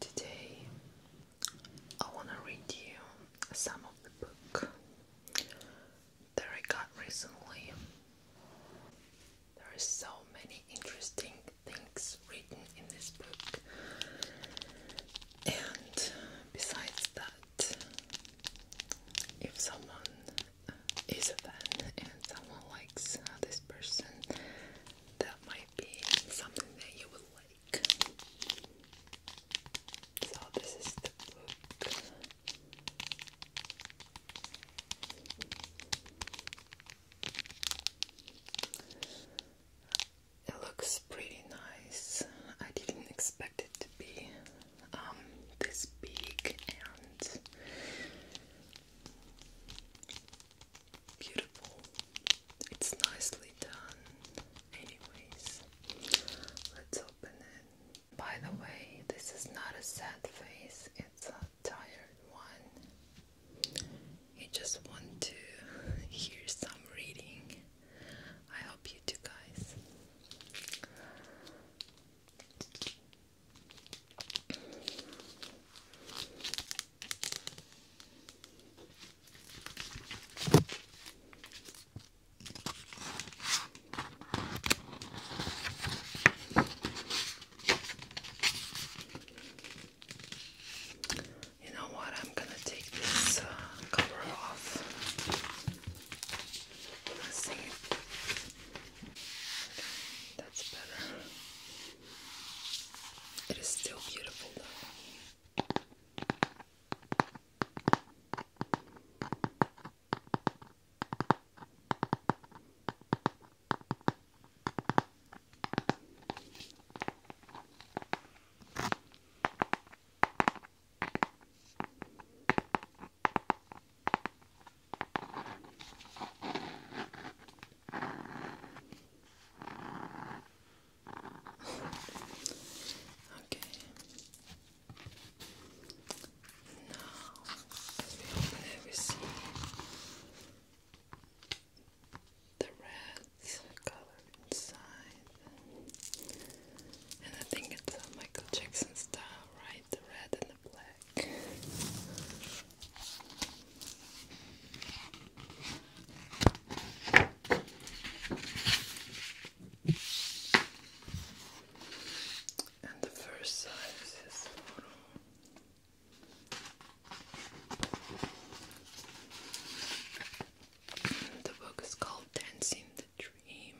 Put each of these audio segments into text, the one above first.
Today I want to read you some of the book that I got recently. There are so many interesting things written in this book, and besides that, if someone is a fan and someone likes this person, that might be something that you would like. So this is the book. It looks pretty nice. I didn't expect it to be um, this big and beautiful. It's nicely done. Anyways, let's open it. By the way, this is not a sad face, it's a tired one. You just want to hear some reading. I hope you do, guys. You know what? I'm gonna take this uh, cover off. Let's see. that's better. It is still beautiful though. Okay. Now, as we open it, we see the red color inside. And I think it's Michael Jackson style, right? The red and the black. And the first side is The book is called Dancing the Dream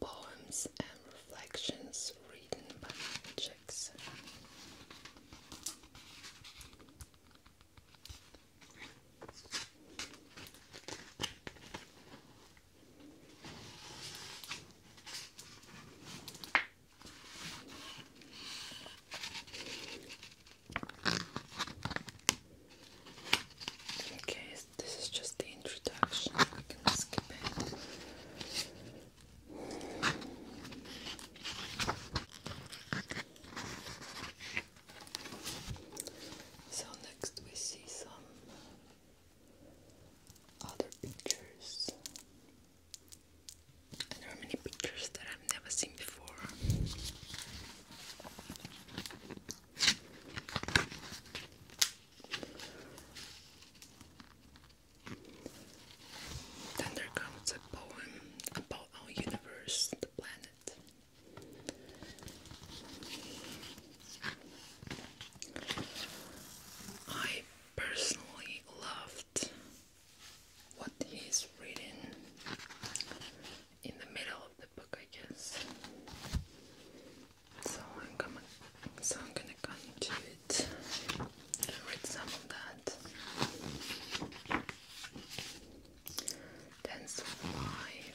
Poems and Reflections written by objects. Okay, this is just the introduction. I can skip it. So next we see some other pictures. there are many pictures that I've never seen before. Then there comes a poem about our universe, the planet. I personally loved what he's reading in the middle of the book, I guess. So I'm gonna so I'm gonna go into it read some of that. Then survive.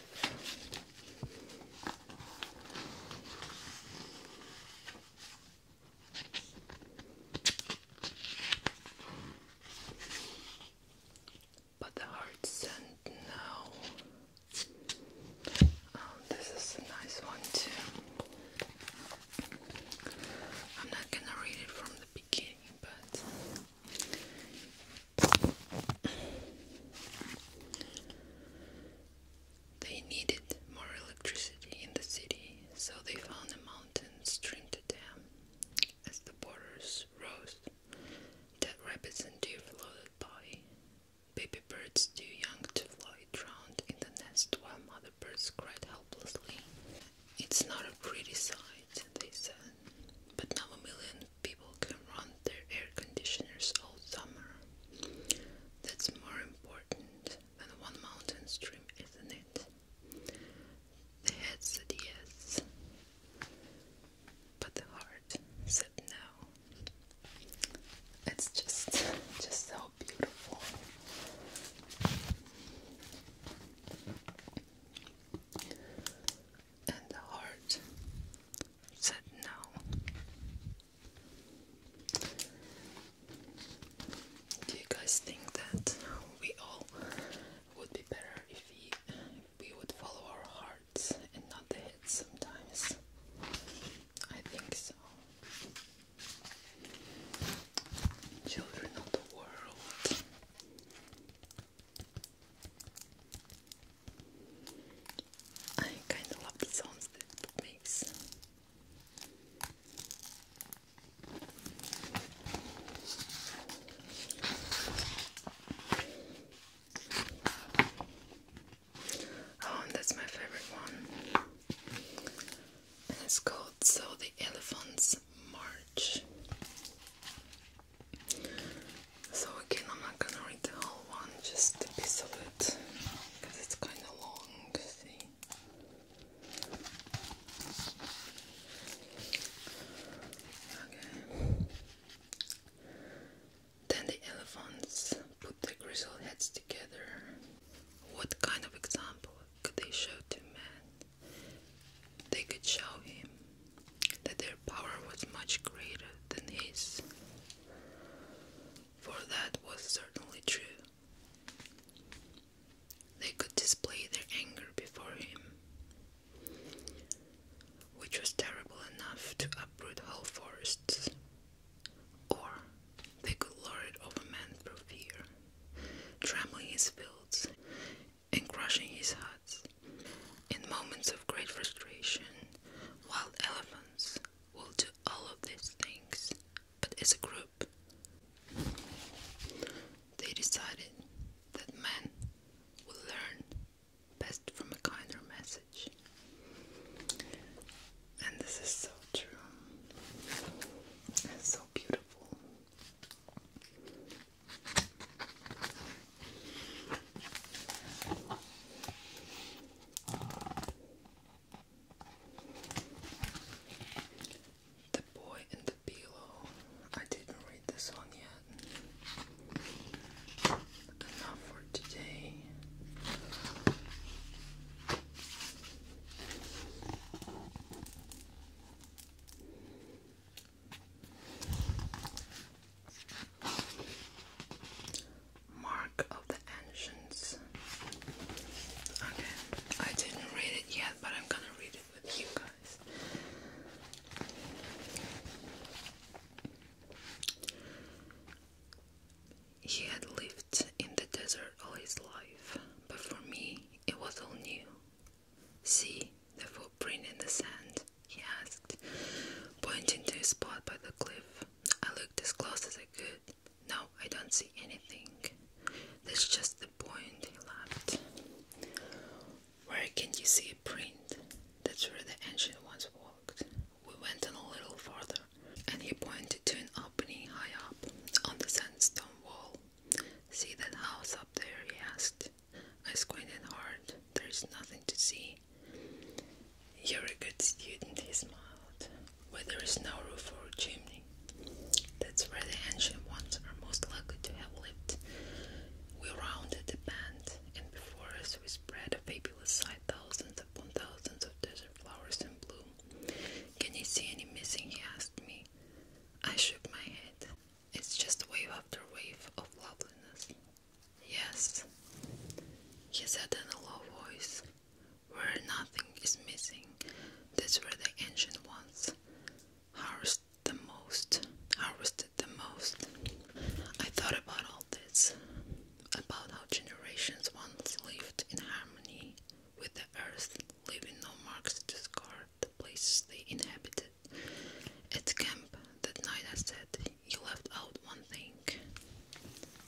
But the heart sent no. Um, this is a nice one too. I'm not gonna read it from the beginning, but they needed more electricity in the city, so they found a mountain stream to dam. As the waters rose, dead rabbits and deer floated by. Baby birds too young to fly drowned in the nest while mother birds cried helplessly. It's not a pretty sight, they said, but now a million people can run their air conditioners all summer. That's more important than one mountain stream, isn't it? The head said yes, but the heart said no. It's just just so beautiful. And the heart said no. Do you guys think that we all would be better if we, we would follow our hearts and not the head sometimes? I think so. Children of the world. I kind of love the sounds that it makes. Oh, that's my favorite one. And it's called So the Elephants March. So again, I'm not gonna read the whole one, just a piece of it, because it's kind of long, see? Okay. Then the elephants put their grizzled heads together. What kind of example could they show to man? They could show him that their power was much greater than his, for that was certainly true. They could display their anger before him, which was terrible enough to uproot whole forests. Or they could lure it over man through fear, trampling his fields and crushing his huts. In moments of great frustration, wild elephants will do all of these things, but as a group, they decided that man would learn best from a kinder master. And this is so true and so beautiful. The boy in the pillow. I didn't read this one yet enough for today. Mark of the Ancients. Okay, I didn't read it yet, but I'm gonna read it with you guys. He had lived in the desert all his life, but for me it was all new. See the footprint in the sand? he asked, pointing to a spot by the cliff. I looked as close as I could. No, I don't see anything. That's just the point, he laughed. Where can you see a print? That's where the ancient ones walked. We went on a little farther, and he pointed to an opening high up on the sandstone wall. See that house up there? he asked. I squinted hard. There's nothing to see. You're a good student, he smiled. Where there is no roof or chimney. That's where the ancient ones are most likely to have lived. We rounded the bend, and before us we spread a fabulous sight thousands upon thousands of desert flowers in bloom. Can you see any missing? He asked me. I shook my head. It's just wave after wave of loveliness. Yes, he said in a low voice. Where nothing is missing, that's where the ancient ones harvest the most. Harvested the most. I thought about all about this, about how generations once lived in harmony with the earth, leaving no marks to scar the place they inhabited. At camp that night, I said, You left out one thing.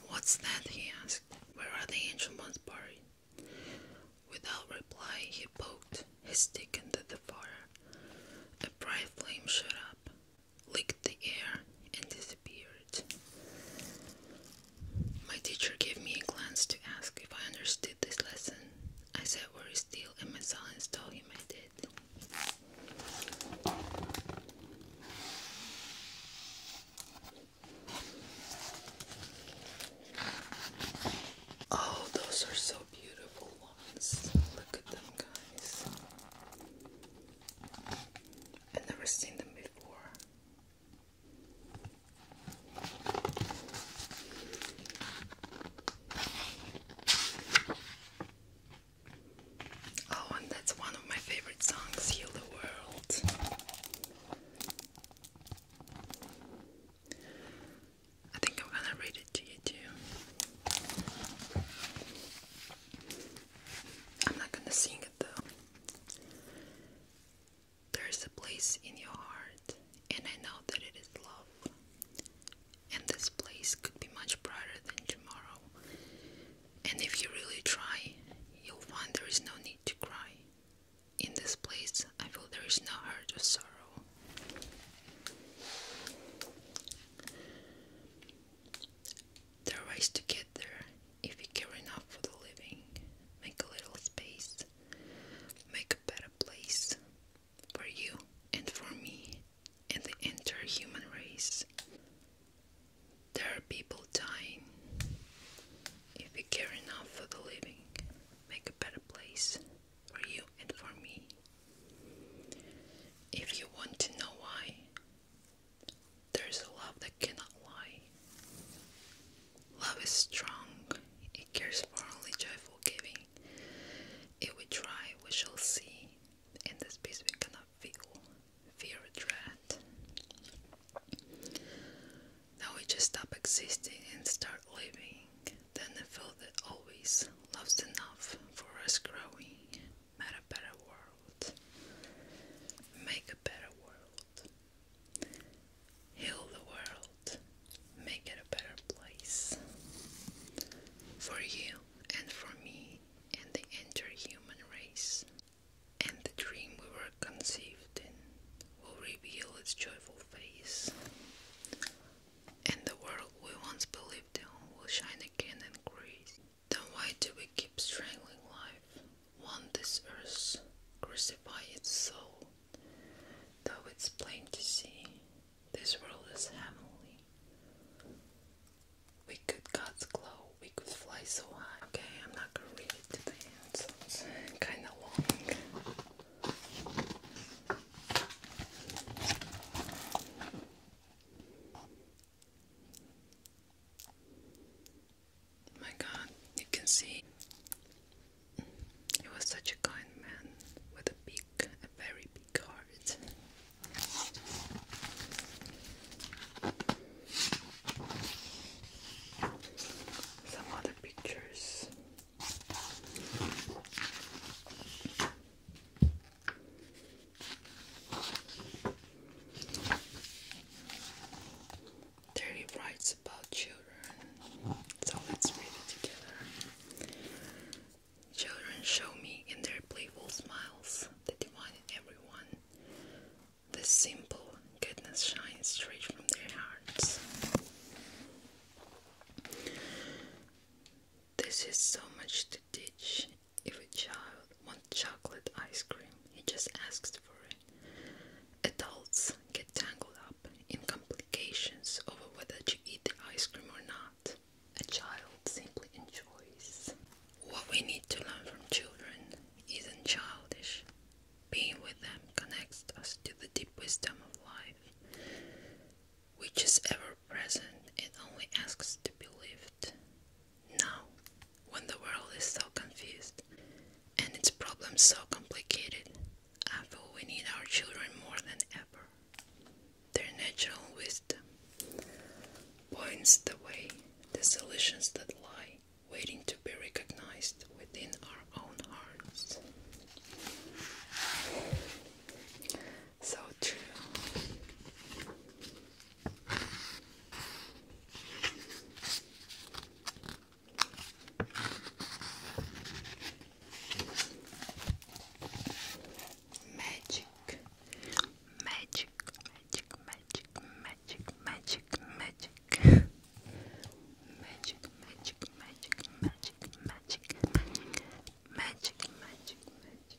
What's that? he asked. Where are the ancient ones buried? Without reply, he poked his stick into the fire. A bright flame shot up licked the air and disappeared. My teacher gave me a glance to ask if I understood this lesson. I said, very still, and my silence told him I did. Oh, those are so beautiful ones. Look at them, guys. I've never seen them before. Oh, and that's one of my favorite songs, Heal the World. I think I'm gonna read it to you too. I'm not gonna sing it though. There is a place in your heart, and I know that it is love. And this place could be much brighter than tomorrow. And if you really try, you'll find there is no need to cry. In this place, I feel there is no hurt or sorrow. There is to get if you care enough for the living. Make a little space, make a better place for you and for me and the entire human race. There are people dying. If you care enough for the living, make a better place for you and for me. If you want to know why, there is a love that cannot lie. Love is strong, it cares for only joyful giving. If we try, we shall see, in this peace we cannot feel, fear or dread. Now we just stop existing and start living, then I feel that always love's enough for us growing made a better world. Make a better world. Heal the world. Make it a better place. For you and for me and the entire human race. And the dream we were conceived in will reveal its joyful face. And the world we once believed in will shine again and grace. Then why do we keep strangling life? will this earth crucify its soul? Though it's plain to see, this world is heavenly. We could God's glow, we could fly so high. Okay, I'm not going the end, kinda long. Oh my God, you can see he was such a kind man with a big, a very big heart. Some other pictures. Dirty writes about children, so let's read it together. Children show me in their playful smiles the divine in everyone. The simple goodness shines straight from their hearts. This is so much to teach if a child wants chocolate ice cream, he just asks for it. Adults get tangled up in complications over whether to eat the ice cream or not. A child simply enjoys. What we need to learn from children isn't childish. Being with them connects us to the deep wisdom of life, which is ever present, it only asks to be lived. Now, when the world is so confused and its problems so complicated, I feel we need our children more than ever. Their natural wisdom points the way, the solutions that lie waiting to be recognized within our own hearts. So true. Magic, magic, magic, magic, magic, magic, magic, magic, magic, magic, magic, magic, magic, magic,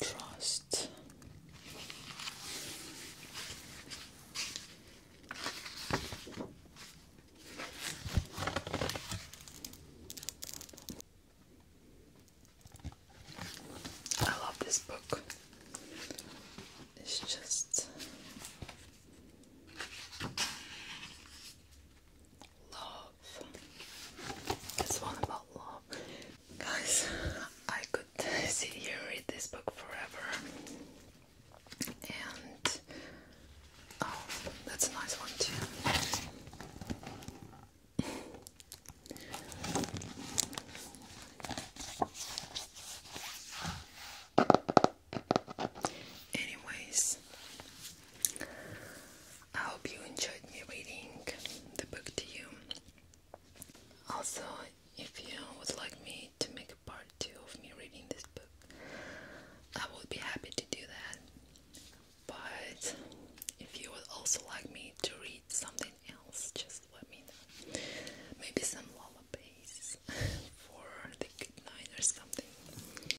Trust. I love this book. It's just Love. It's one about love. Guys, I could sit here and read this book forever. And oh, that's a nice one too. Anyways, I hope you enjoyed me reading the book to you. Also, if you would like me to make a part two of me reading this book, I would be happy to do that. But if you would also like me to read something else, just let me know. Maybe some lullabies for the good night or something.